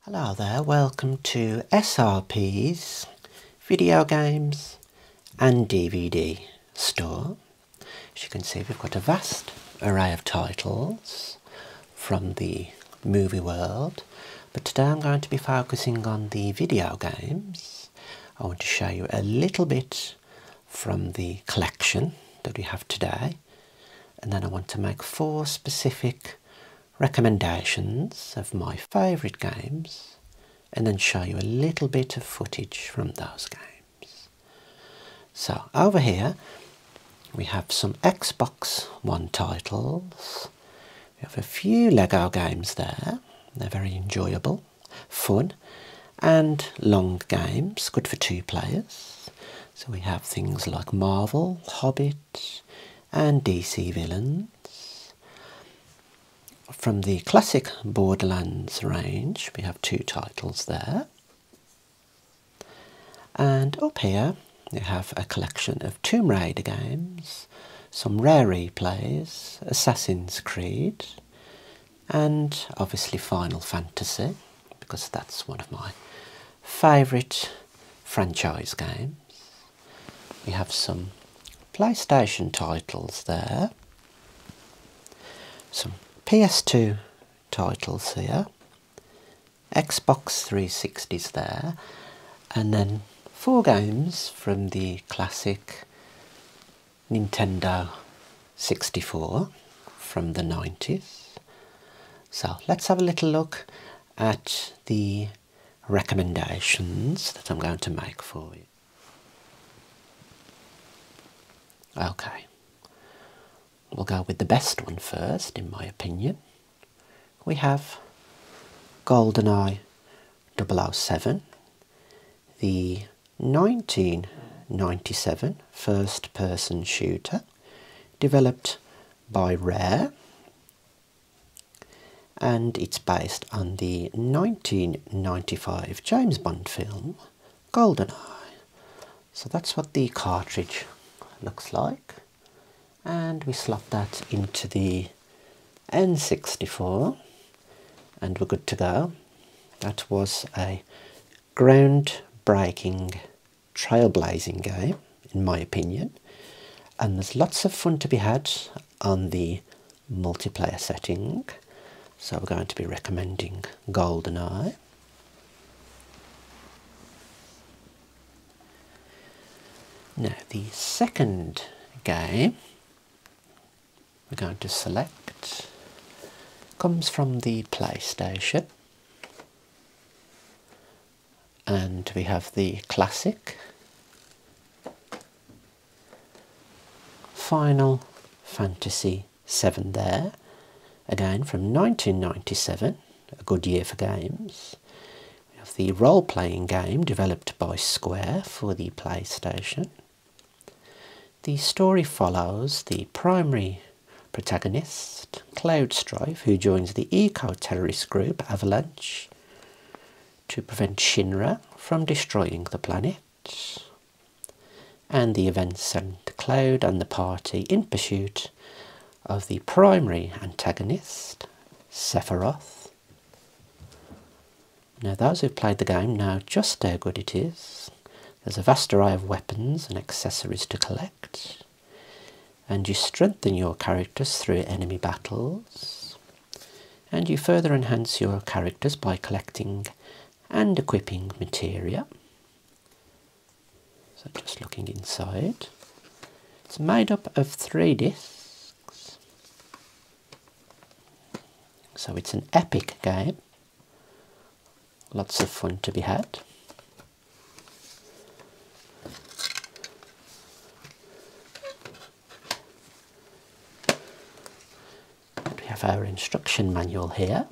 Hello there, welcome to SRP's Video Games and DVD store. As you can see we've got a vast array of titles from the movie world but today I'm going to be focusing on the video games. I want to show you a little bit from the collection that we have today and then I want to make four specific recommendations of my favourite games and then show you a little bit of footage from those games. So over here we have some Xbox One titles. We have a few Lego games there. They're very enjoyable, fun and long games, good for two players. So we have things like Marvel, Hobbit, and DC villains. From the classic Borderlands range, we have two titles there. And up here, we have a collection of Tomb Raider games, some rare replays, Assassin's Creed, and obviously Final Fantasy, because that's one of my favourite franchise games. We have some PlayStation titles there, some PS2 titles here, Xbox 360s there, and then four games from the classic Nintendo 64 from the 90s. So let's have a little look at the recommendations that I'm going to make for you. Okay, we'll go with the best one first, in my opinion. We have GoldenEye 007, the 1997 first person shooter developed by Rare and it's based on the 1995 James Bond film Goldeneye. So that's what the cartridge looks like and we slot that into the N64 and we're good to go. That was a groundbreaking trailblazing game, in my opinion, and there's lots of fun to be had on the multiplayer setting. So we're going to be recommending GoldenEye. Now, the second game we're going to select comes from the PlayStation and we have the classic, Final Fantasy VII there, again from 1997, a good year for games. We have the role-playing game developed by Square for the PlayStation. The story follows the primary protagonist, Cloudstrife, who joins the eco terrorist group Avalanche to prevent Shinra from destroying the planet, and the events send Cloud and the party in pursuit of the primary antagonist, Sephiroth. Now, those who've played the game know just how good it is. There's a vast array of weapons and accessories to collect and you strengthen your characters through enemy battles, and you further enhance your characters by collecting and equipping materia. So, just looking inside, it's made up of three discs, so it's an epic game, lots of fun to be had we have our instruction manual here.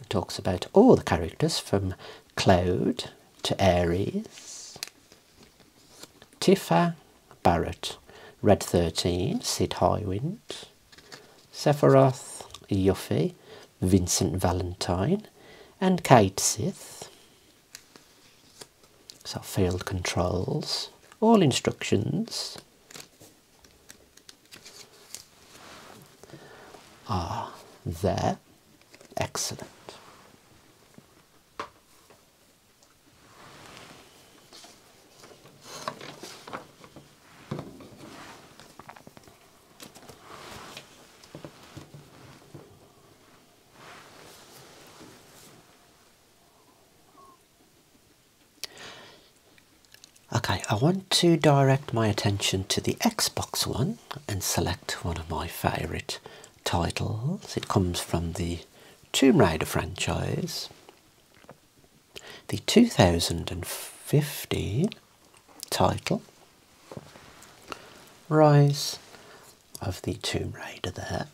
It talks about all the characters from Claude to Aries, Tifa, Barrett, Red 13, Sid Highwind, Sephiroth Yuffie, Vincent Valentine, and Kate Sith. So field controls, all instructions are there. Excellent. Okay, I want to direct my attention to the Xbox One and select one of my favourite titles. It comes from the Tomb Raider franchise the 2015 title Rise of the Tomb Raider there.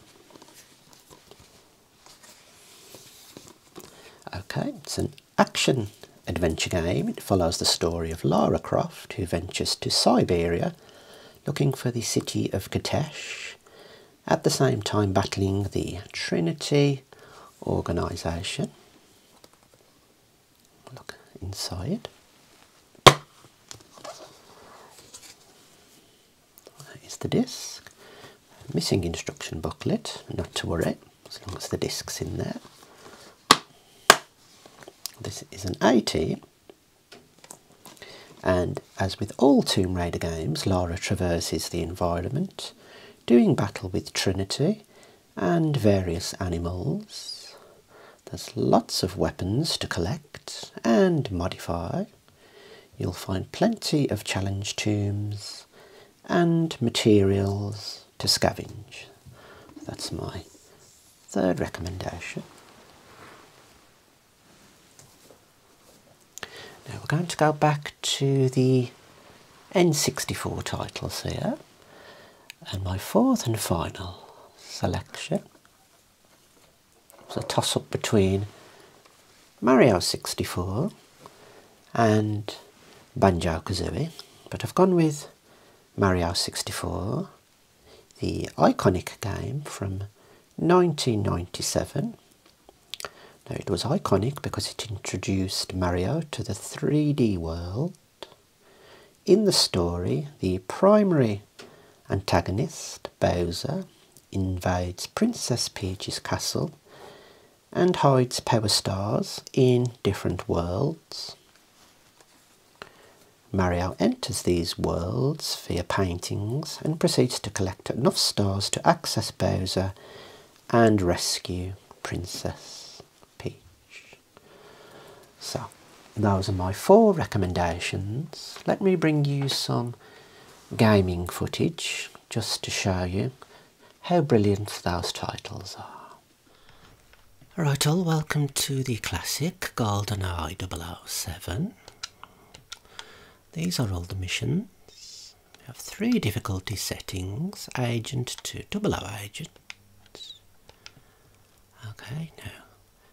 Okay, it's an action adventure game. It follows the story of Lara Croft who ventures to Siberia looking for the city of Katesh at the same time battling the Trinity organization. Look inside. That is the disc. Missing instruction booklet, not to worry, as long as the disc's in there. This is an 80. And as with all Tomb Raider games, Lara traverses the environment doing battle with Trinity and various animals. There's lots of weapons to collect and modify. You'll find plenty of challenge tombs and materials to scavenge. That's my third recommendation. Now we're going to go back to the N64 titles here and my fourth and final selection was a toss up between Mario 64 and Banjo Kazooie but I've gone with Mario 64 the iconic game from 1997 now, it was iconic because it introduced Mario to the 3D world. In the story, the primary antagonist, Bowser, invades Princess Peach's castle and hides power stars in different worlds. Mario enters these worlds via paintings and proceeds to collect enough stars to access Bowser and rescue Princess Peach. So, those are my four recommendations. Let me bring you some gaming footage just to show you how brilliant those titles are. Right all, welcome to the classic GoldenEye 007. These are all the missions. We have three difficulty settings, agent Two, double O agent. Okay, now,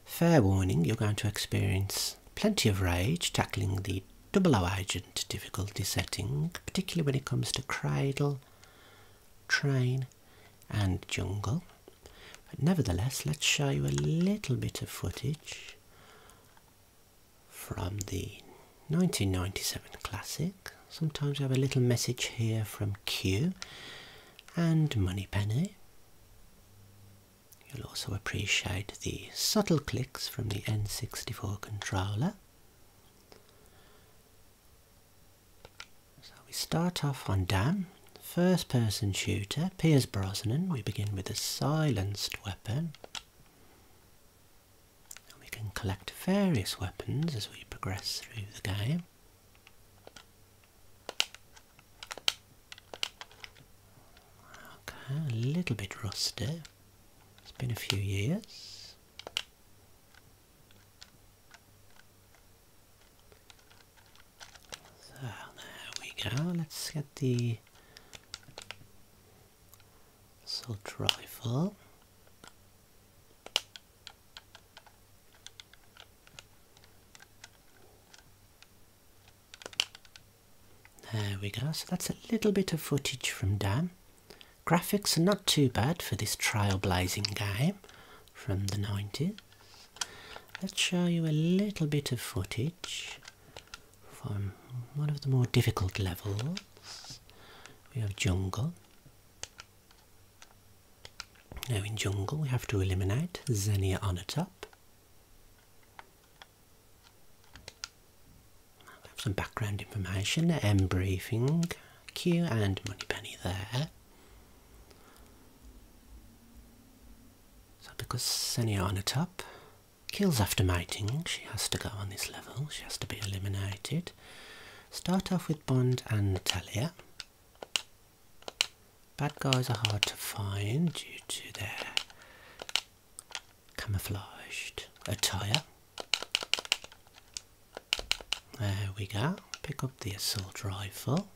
fair warning, you're going to experience plenty of rage tackling the double O agent difficulty setting, particularly when it comes to cradle, train and jungle. But nevertheless, let's show you a little bit of footage from the 1997 classic. Sometimes we have a little message here from Q and Moneypenny. You'll also appreciate the subtle clicks from the N64 controller. So we start off on Dam, first person shooter, Piers Brosnan. We begin with a silenced weapon we can collect various weapons as we progress through the game. Okay, a little bit rusty. It's been a few years. So there we go. Let's get the so try for There we go, so that's a little bit of footage from Dan. Graphics are not too bad for this trailblazing game from the 90s. Let's show you a little bit of footage from one of the more difficult levels. We have jungle. Now in jungle we have to eliminate Xenia on the top. I have some background information, M briefing, Q and money penny there. So because Xenia on the top, kills after mating. She has to go on this level. She has to be eliminated. Start off with Bond and Talia. Bad guys are hard to find due to their camouflaged attire. There we go. Pick up the assault rifle.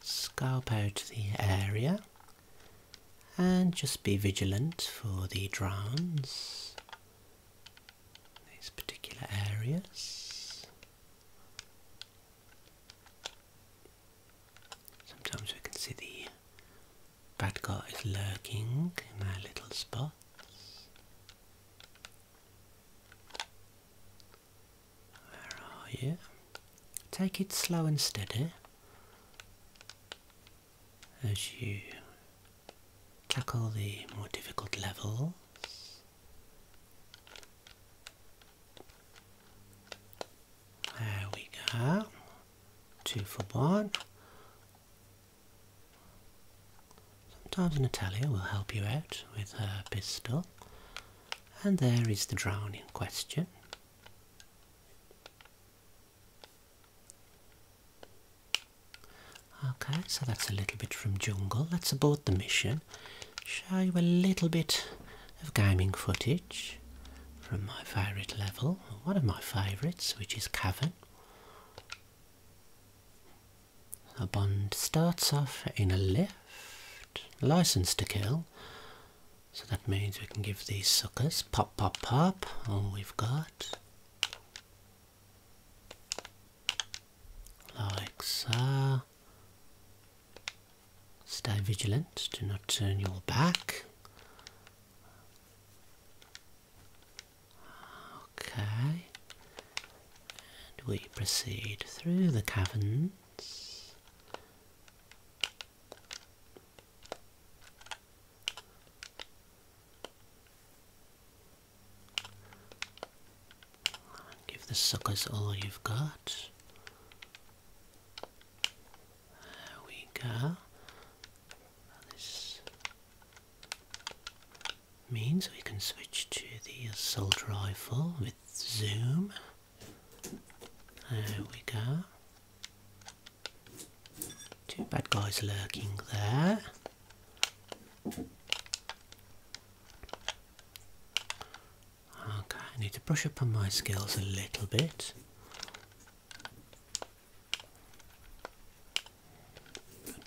Scalp out the area and just be vigilant for the drowns these particular areas sometimes we can see the bad guy is lurking in our little spots where are you? Take it slow and steady as you tackle the more difficult levels. There we go. Two for one. Sometimes Natalia will help you out with her pistol. And there is the drowning question. Okay, so that's a little bit from Jungle. Let's abort the mission. Show you a little bit of gaming footage from my favourite level, one of my favourites, which is Cavern. A Bond starts off in a lift, license to kill, so that means we can give these suckers pop, pop, pop, all we've got. Like so. Stay vigilant, do not turn your back. Okay. And we proceed through the caverns. Give the suckers all you've got. There we go. This means we can switch to the assault rifle with zoom. There we go. Two bad guys lurking there. Okay, I need to brush up on my skills a little bit.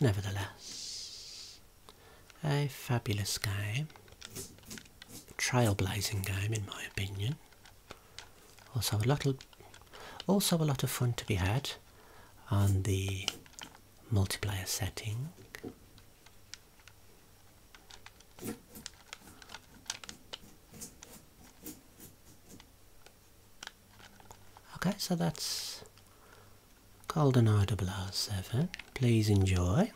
nevertheless, a fabulous game. trailblazing game in my opinion. Also a lot of, also a lot of fun to be had on the multiplayer setting. Okay, so that's called Golden R007. Please enjoy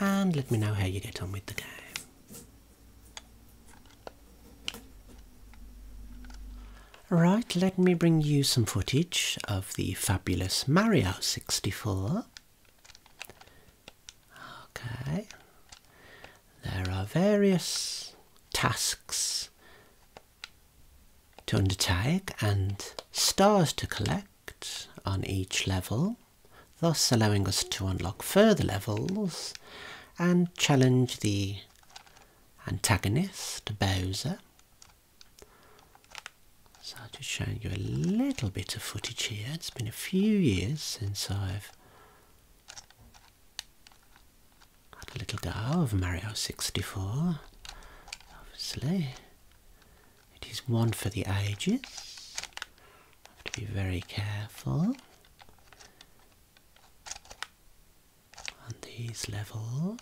and let me know how you get on with the game. Right, let me bring you some footage of the fabulous Mario 64. Okay, there are various tasks to undertake and stars to collect on each level thus allowing us to unlock further levels and challenge the antagonist, Bowser. So I'm just showing you a little bit of footage here. It's been a few years since I've had a little go of Mario 64, obviously. It is one for the ages. Have to be very careful on these levels.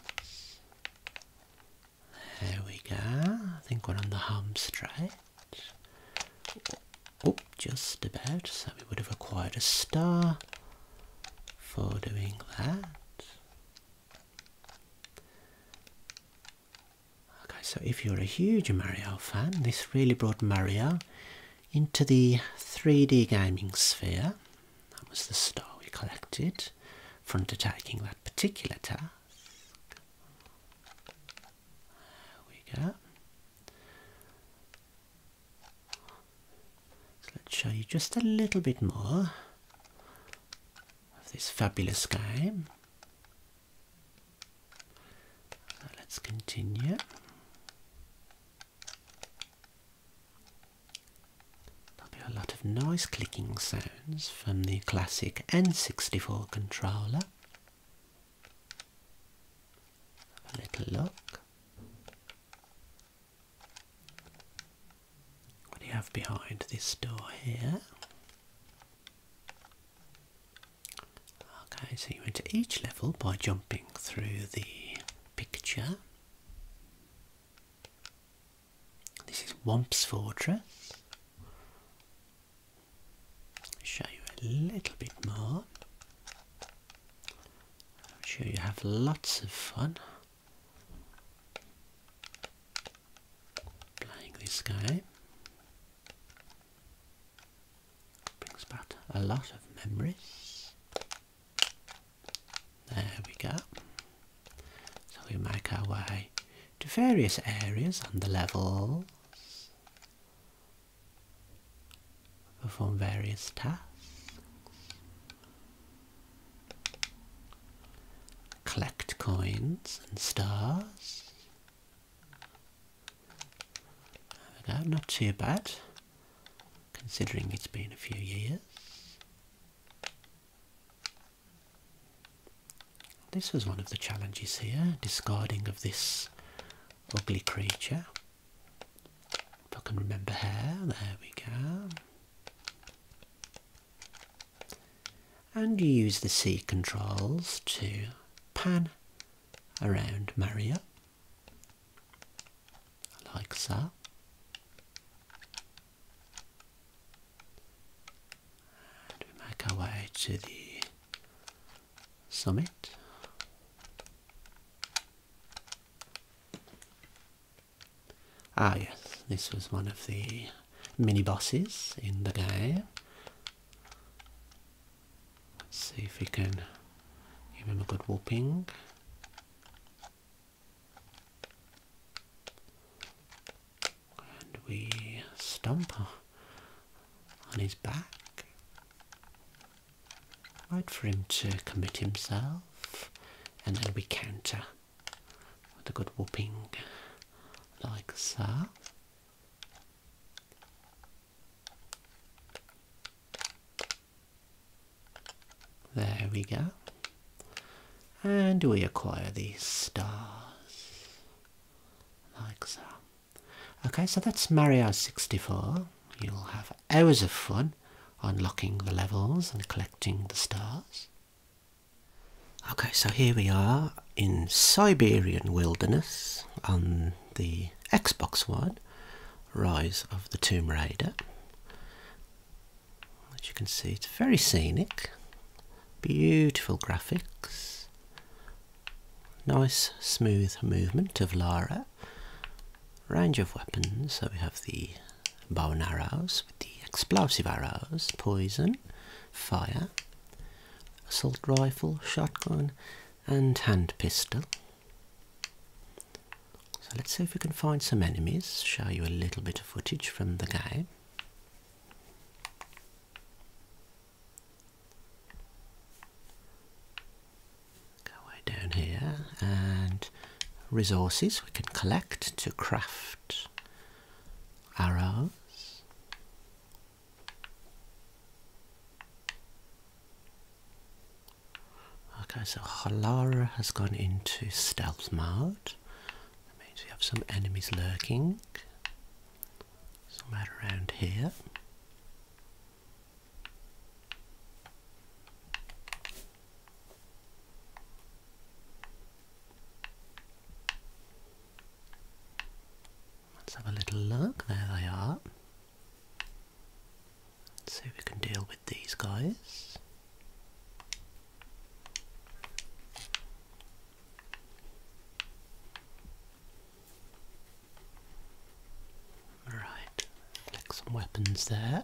There we go. I think we're on the home straight. Oh, just about. So we would have acquired a star for doing that. Okay, so if you're a huge Mario fan, this really brought Mario into the 3D gaming sphere. That was the star we collected from undertaking that particular task. we go. So let's show you just a little bit more of this fabulous game let's continue. There'll be a lot of nice clicking sounds from the classic N64 controller. a little look. What do you have behind this door here? Okay, so you enter each level by jumping through the picture. This is Womp's Fortress. Show you a little bit more. I'm sure you have lots of fun playing this game brings back a lot of memories. There we go. So we make our way to various areas and the levels, perform various tasks, collect coins and stars, not too bad, considering it's been a few years. This was one of the challenges here, discarding of this ugly creature. If I can remember how, there we go and use the C controls to pan around Maria, like so and we make our way to the summit ah yes this was one of the mini bosses in the game. Let's see if we can give him a good whooping. And we stomp on his back. Wait for him to commit himself. And then we counter with a good whooping like so. There we go. And we acquire these stars. Like so. Okay, so that's Mario 64. You'll have hours of fun unlocking the levels and collecting the stars. Okay, so here we are in Siberian Wilderness on the Xbox One, Rise of the Tomb Raider. As you can see, it's very scenic, beautiful graphics, nice smooth movement of Lara, range of weapons, so we have the bow and arrows with the explosive arrows, poison, fire, assault rifle, shotgun, and hand pistol. So let's see if we can find some enemies, show you a little bit of footage from the game. Go way down here and resources we can collect to craft arrows okay so Halara has gone into stealth mode that means we have some enemies lurking somewhere around here Let's have a little look. There they are. see if we can deal with these guys. Right, click some weapons there,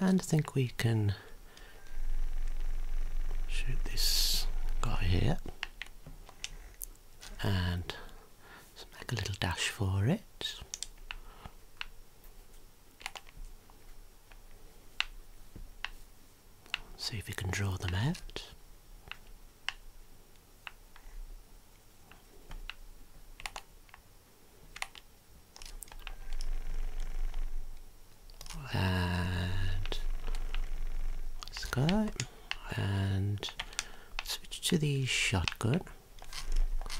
and I think we can shoot this guy here and make a little dash for it see if we can draw them out and Skype and switch to the shotgun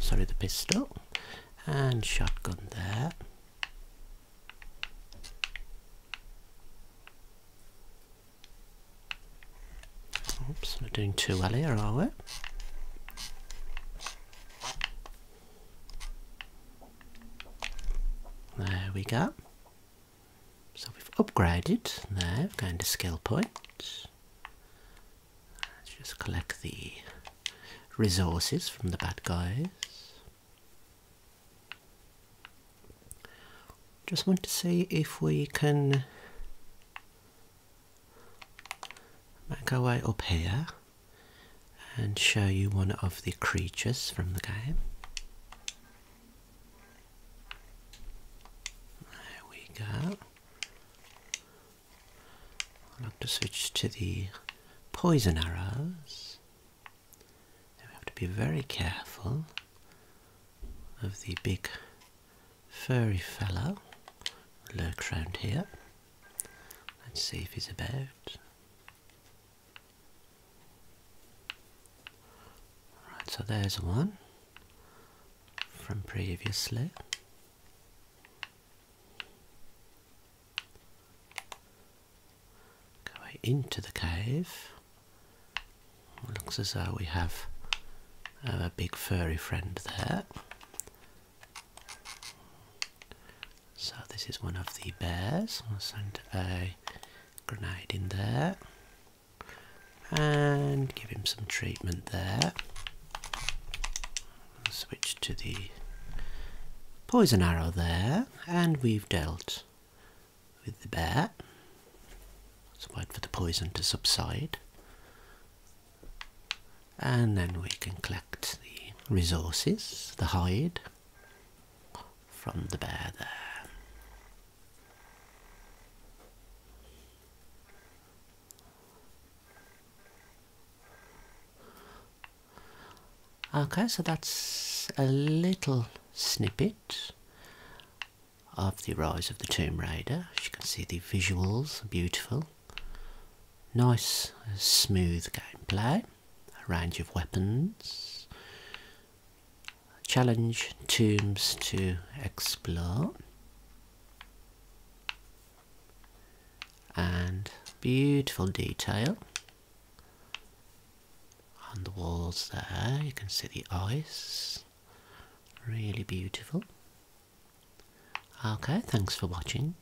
sorry the pistol and shotgun there oops we're doing too well here are we there we go. So we've upgraded there, going to skill points. Let's just collect the resources from the bad guys. Just want to see if we can make our way up here and show you one of the creatures from the game. There we go. I'll have to switch to the poison arrows. we have to be very careful of the big furry fellow. Lurk round here. Let's see if he's about. Right, so there's one from previously. Going into the cave. Looks as though we have uh, a big furry friend there. So this is one of the bears. i am going to send a grenade in there and give him some treatment there. switch to the poison arrow there and we've dealt with the bear. wait for the poison to subside and then we can collect the resources, the hide from the bear there. Okay, so that's a little snippet of the rise of the Tomb Raider. As you can see, the visuals are beautiful. Nice, smooth gameplay a range of weapons, challenge tombs to explore, and beautiful detail on the walls there. You can see the ice, really beautiful. Okay, thanks for watching.